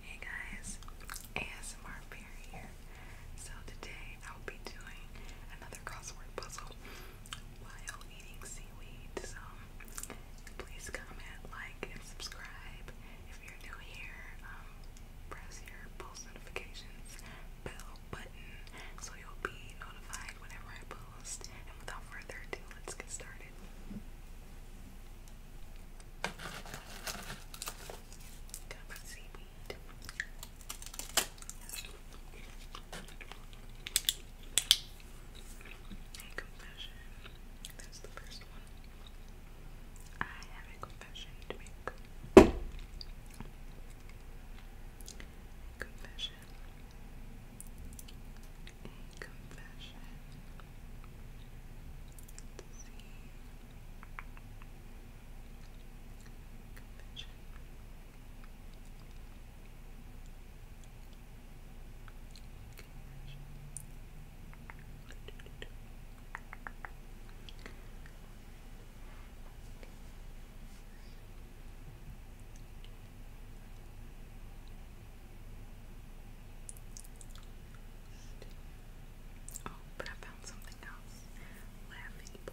Hey guys, ASMR Fairy here. So today I'll be doing another crossword puzzle while eating seaweed. So please comment, like, and subscribe. If you're new here, um, press your post notifications bell button so you'll be notified whenever I post. And without further ado, let's get started. Got my A confession. That's the first one. I have a confession to make. confession. confession. Let's see. Convention. Convention. Okay. Oh, but I found something else. Laughing boy.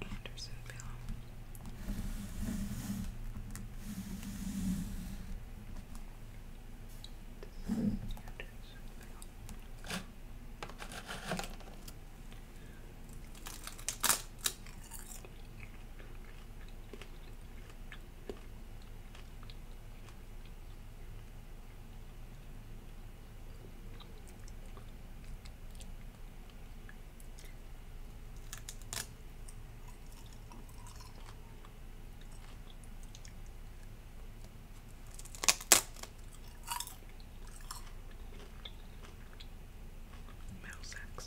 Andersonville. This Mouse axe.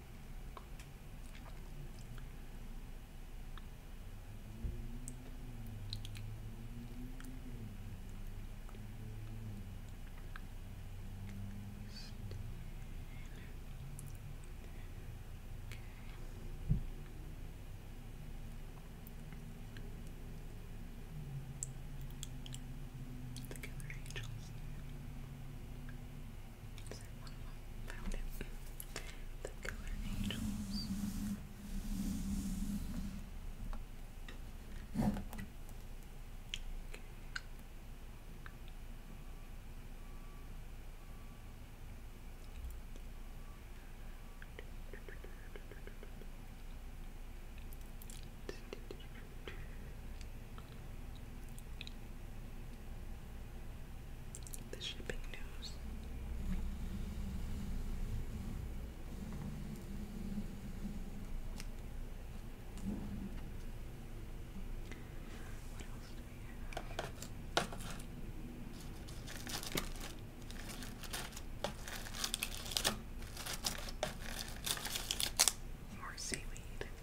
The killer angels. Is there Found it. The Killer Angels the shipping news. More seaweed.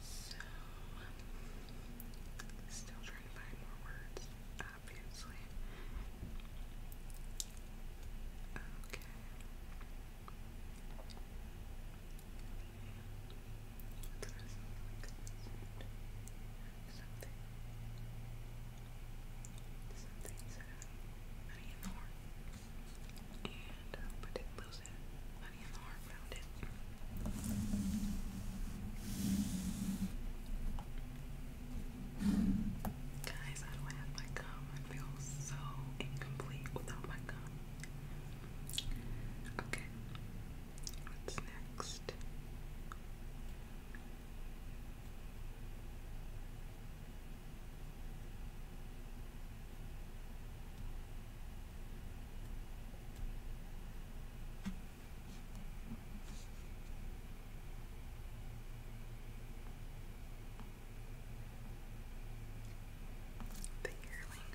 So, still trying to find more words, obviously. Okay. What's this? Something. Something said honey in the horn. And, uh, but it blew close it. Guys, I don't have my gum. I feel so incomplete without my gum. Okay, what's next? The yearling.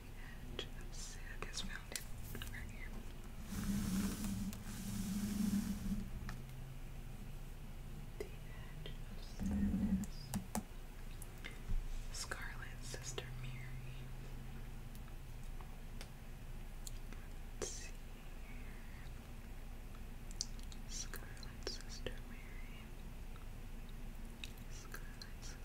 the edge of Sig is founded right here. The edge of sadness. Scarlet Sister Mary. Let's see Scarlet Sister Mary. Scarlet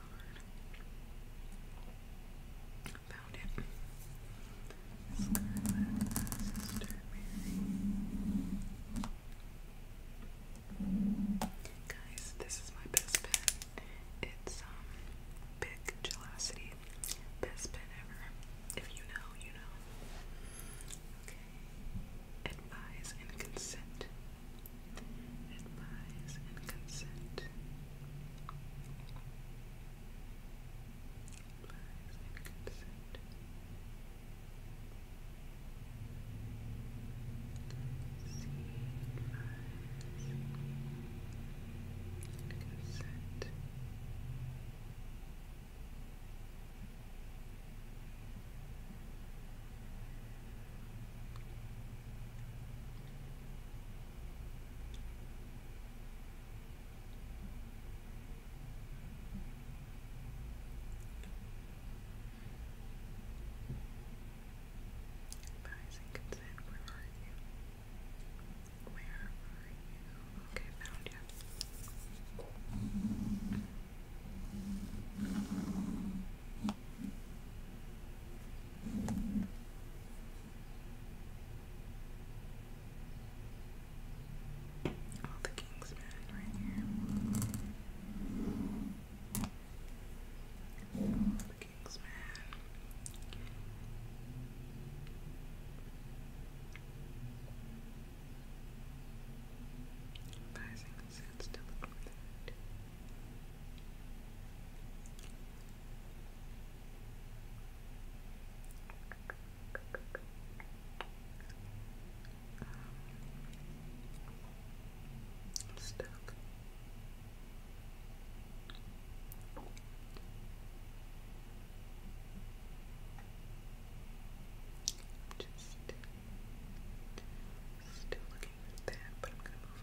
on. Found it. Scarlet Sister Mary. Guys, this is my best pen. It's um big gelosity. Best pen ever. If you know, you know. Okay. Advise and consent advise, and consent. Advise and consent. See, and consent. Advice and consent, where are you? Where are you? Okay, found you. All the Kingsmen right here. the Kingsmen. Advising sits to I'm stuck. just still looking at that, but I'm gonna move on.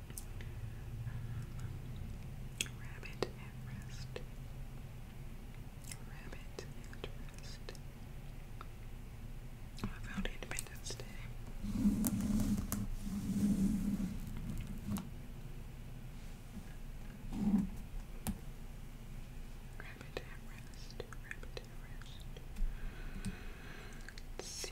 Um, rabbit at rest. Rabbit at rest. Oh, I found Independence Day. Rabbit at rest. Rabbit at rest. Let's see.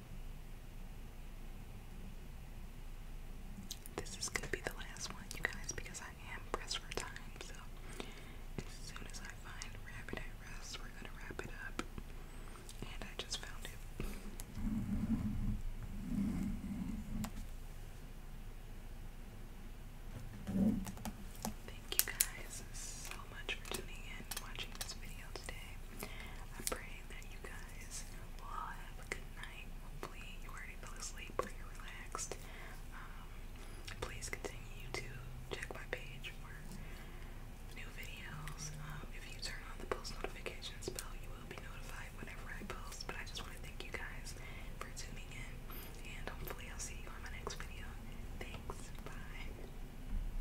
This is gonna be the last one, you guys, because I am pressed for time. So as soon as I find Rabbit at Rest, we're gonna wrap it up. And I just found it. Thank you guys so much for tuning in watching this video today. I'm that you guys all have a good night. Hopefully you already fell asleep or you relaxed. Um, please continue to check my page for new videos. Um, if you turn on the post notifications bell, you will be notified whenever I post. But I just want to thank you guys for tuning in, and hopefully I'll see you on my next video. Thanks. Bye.